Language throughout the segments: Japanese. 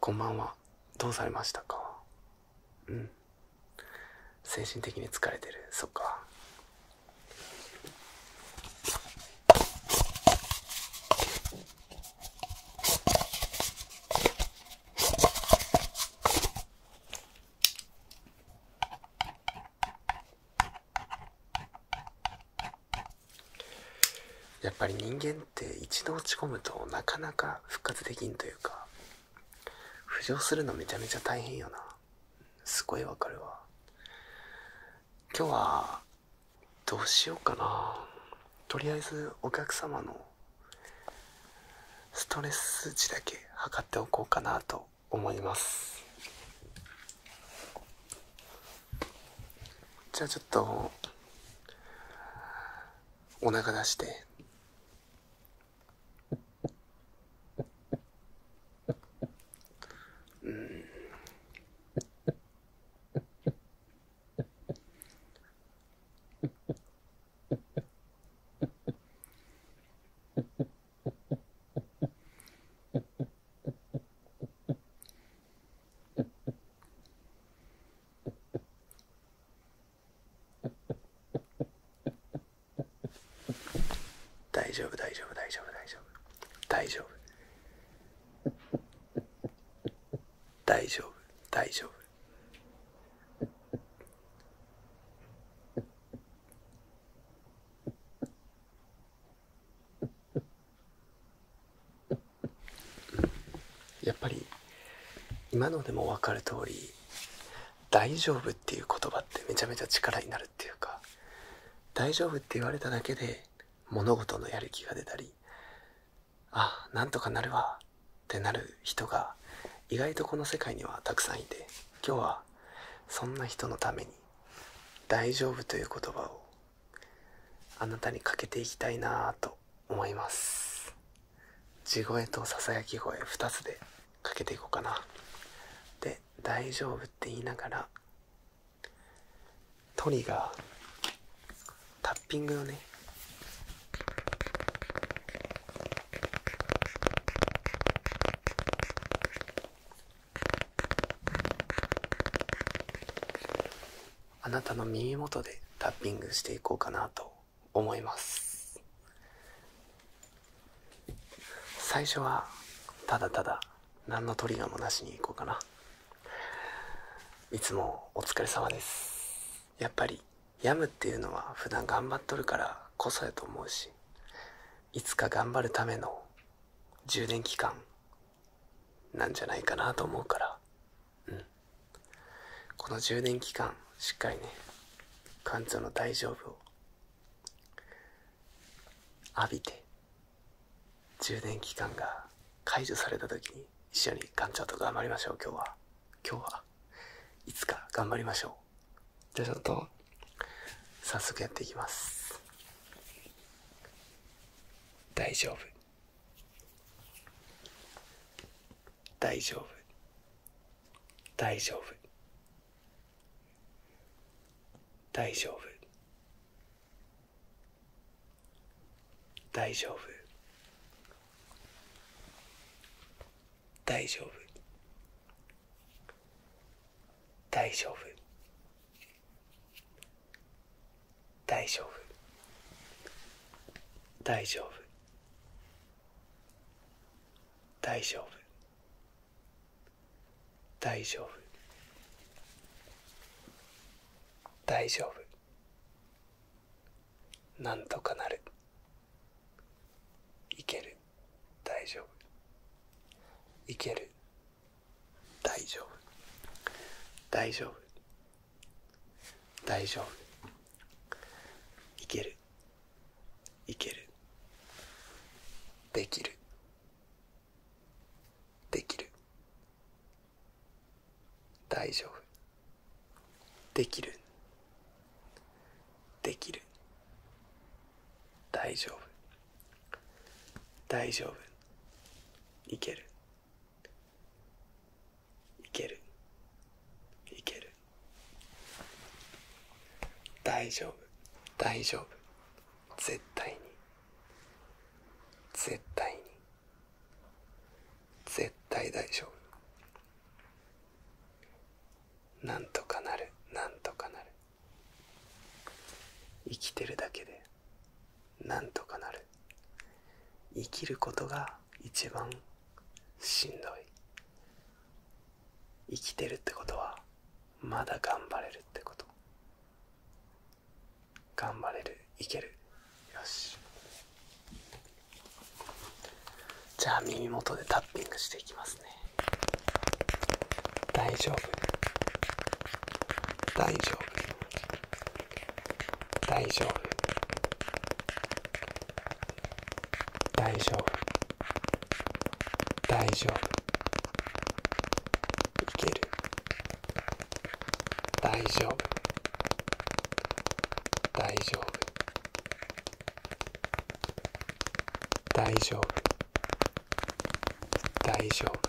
こんばんはどうされましたかうん精神的に疲れてるそっかうん。やっぱり人間って一度落ち込むとなかなか復活できんというか浮上するのめちゃめちゃ大変よなすごいわかるわ今日はどうしようかなとりあえずお客様のストレス数値だけ測っておこうかなと思いますじゃあちょっとお腹出して。うん。大丈夫大丈夫大丈夫大丈夫大丈夫大丈夫大丈夫やっぱり今のでも分かる通り「大丈夫」っていう言葉ってめちゃめちゃ力になるっていうか「大丈夫」って言われただけで物事のやる気が出たり「あなんとかなるわ」ってなる人が意外とこの世界にはたくさんいて今日はそんな人のために「大丈夫」という言葉をあなたにかけていきたいなと思います地声とささやき声2つでかけていこうかなで「大丈夫」って言いながらトリガータッピングをねあなたの耳元でタッピングしていこうかなと思います最初はただただ何のトリガーもなしにいこうかないつもお疲れ様ですやっぱり病むっていうのは普段頑張っとるからこそやと思うしいつか頑張るための充電期間なんじゃないかなと思うからうん、この充電期間しっかりね館長の大丈夫を浴びて充電期間が解除された時に一緒に館長と頑張りましょう今日は今日はいつか頑張りましょうじゃあちょっと早速やっていきます大丈夫大丈夫大丈夫大丈夫大丈夫大丈夫大丈夫大丈夫大丈夫大丈夫大丈夫大丈夫なんとかなるいける大丈夫いける大丈夫大丈夫大丈夫いけるいけるできるできる大丈夫できるできる大丈夫大丈夫いけるいけるいける大丈夫大丈夫絶対に絶対に絶対大丈夫なんとかなるなんとかなる生きてるだけでなんとかなる生きることが一番しんどい生きてるってことはまだ頑張れるってこと頑張れるいけるよしじゃあ耳元でタッピングしていきますね大丈夫大丈夫大丈夫大丈夫大丈夫いける大丈夫大丈夫大丈夫大丈夫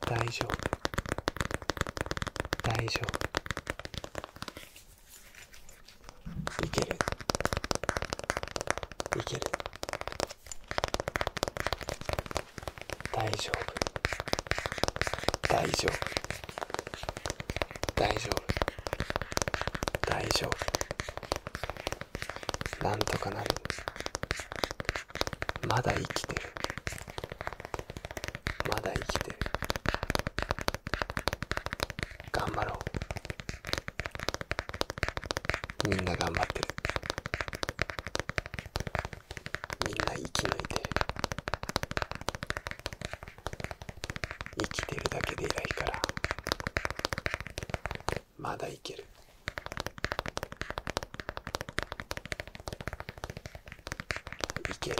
大丈夫大丈夫いけるいける大丈夫大丈夫大丈夫大丈夫なんとかなるまだ生きてるまだ生きてる頑張ろうみんな頑張ってるみんな生き抜いて生きてるだけで偉いからまだいけるいける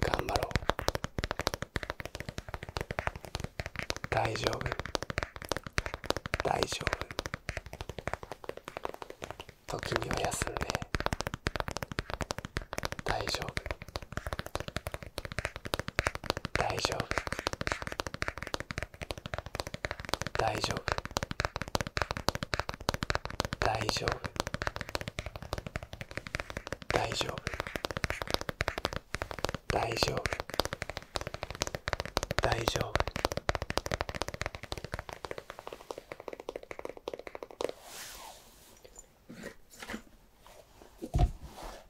頑張ろう大丈夫大丈夫時には休んで大丈夫大丈夫大丈夫大丈夫大丈夫大丈夫大丈夫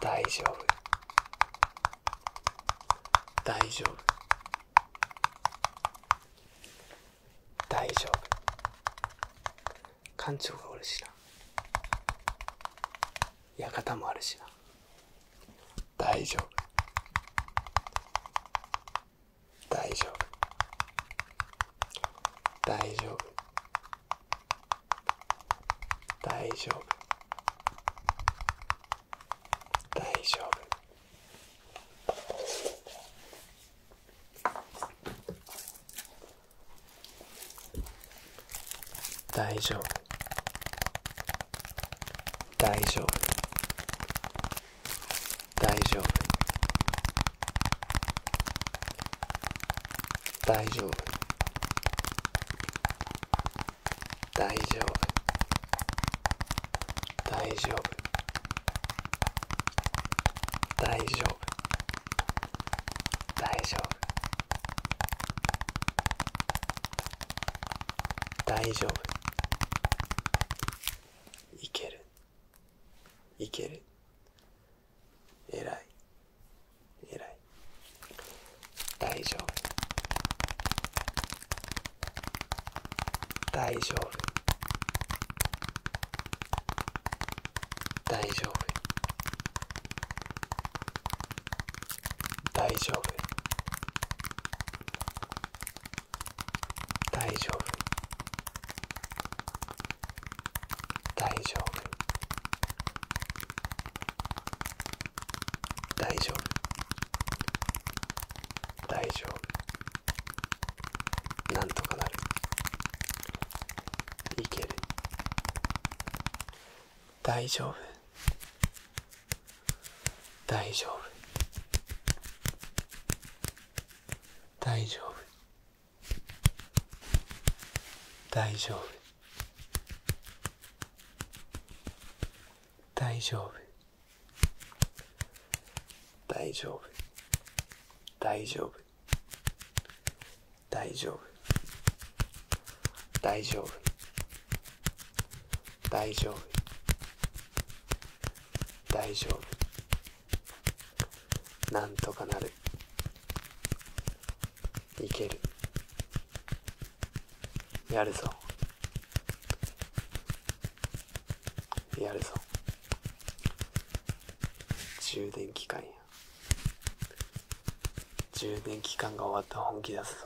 大丈夫大丈夫大丈夫館長がおるしな館もあるしな大丈夫大丈夫大丈夫大丈夫大丈夫大丈夫大丈夫大丈夫大丈夫大丈夫大丈夫大丈夫大丈夫大丈夫いけるいける偉い偉い大丈夫大丈夫大丈夫大丈夫大丈夫大丈夫大丈夫大丈夫なんとかなるいける大丈夫大丈夫大丈夫大丈夫大丈夫大丈夫大丈夫大丈夫大丈夫大丈夫大丈夫なんとかなるいけるやるぞやるぞ充電期間や充電期間が終わったら本気出すぞ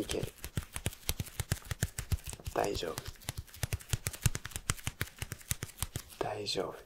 いける大丈夫大丈夫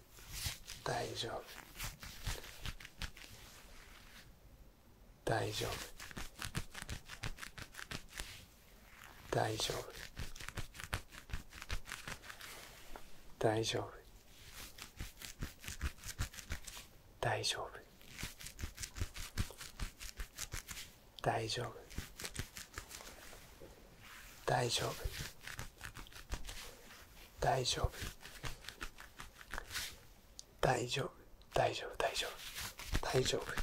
く大丈夫大丈夫大丈夫大丈夫大丈夫大丈夫大丈夫大丈夫大丈夫大丈夫大丈夫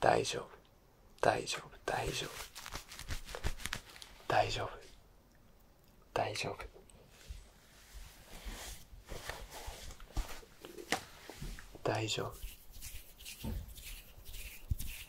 大丈夫大丈夫大丈夫大丈夫大丈夫大丈夫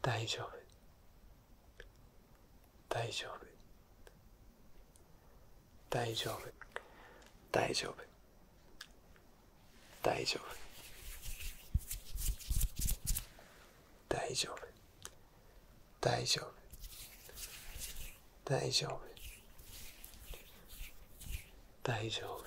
大丈夫大丈夫大丈夫大丈夫大丈夫大丈夫大丈夫大丈夫大丈夫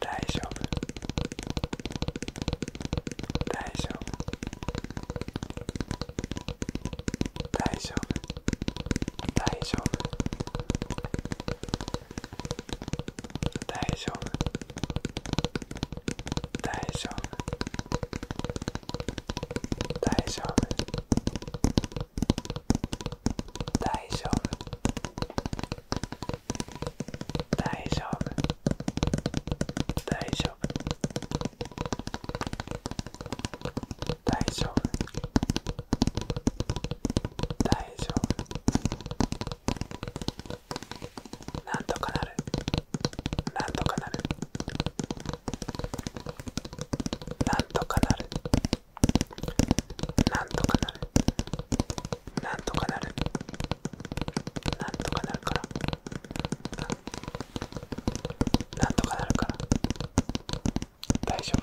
大丈夫大丈夫大丈夫大丈夫大丈夫大丈夫大丈夫大丈夫大丈夫大丈夫大丈夫大丈夫なんとかなるなんとかなるなんとかなるなんとかなるなんとかなるなんとかなるからなんとかなるから大丈夫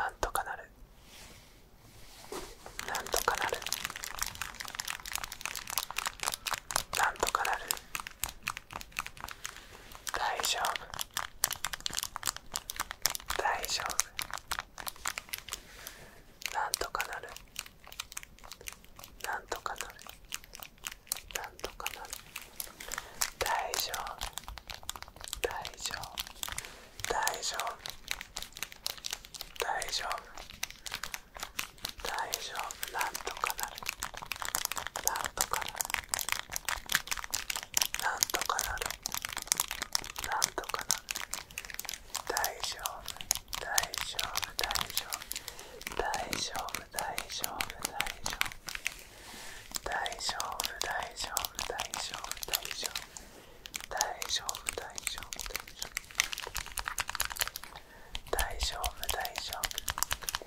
なんとかなるなんとかなるなんとかなる大丈夫大丈夫なんとかなるなんとかなるなんとかなる大丈夫大丈夫大丈夫大丈夫大丈夫なんとかなる。なんとかなるなんとかなるなんとかなる大丈夫大丈夫大丈夫大丈夫大丈夫大丈夫大丈夫大丈夫大丈夫大丈夫大丈夫大丈夫大丈夫大丈夫大丈夫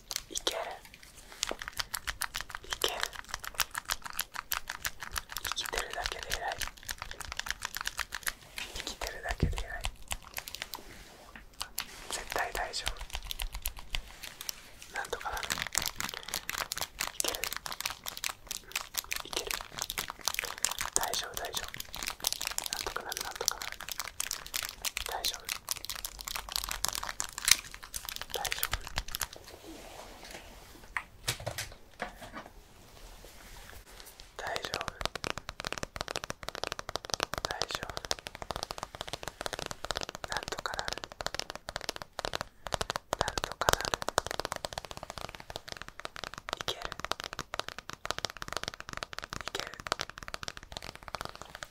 いけるいける生きてるだけで偉い生きてるだけで偉い絶対大丈夫なんとかなるいけるいける大丈夫大丈夫なんとかなるなんとかなる大丈夫大丈夫大丈夫大丈夫なんとかなるなんとかなるいけるいける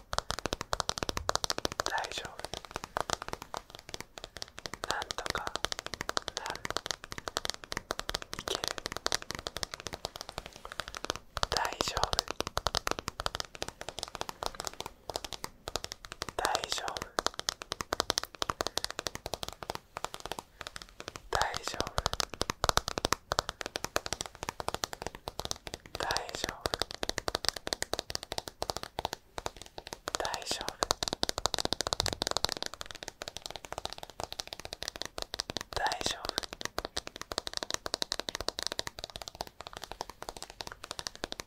大丈夫なんとかなるいける大丈夫大丈夫大丈夫大丈夫大丈夫大丈夫大丈夫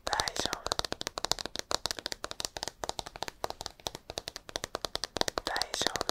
大丈夫大丈夫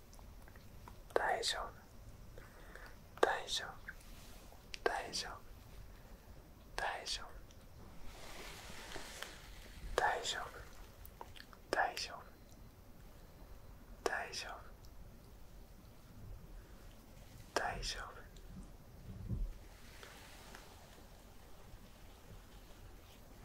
大丈夫大丈夫大丈夫大丈夫大丈夫大丈夫大丈夫大丈夫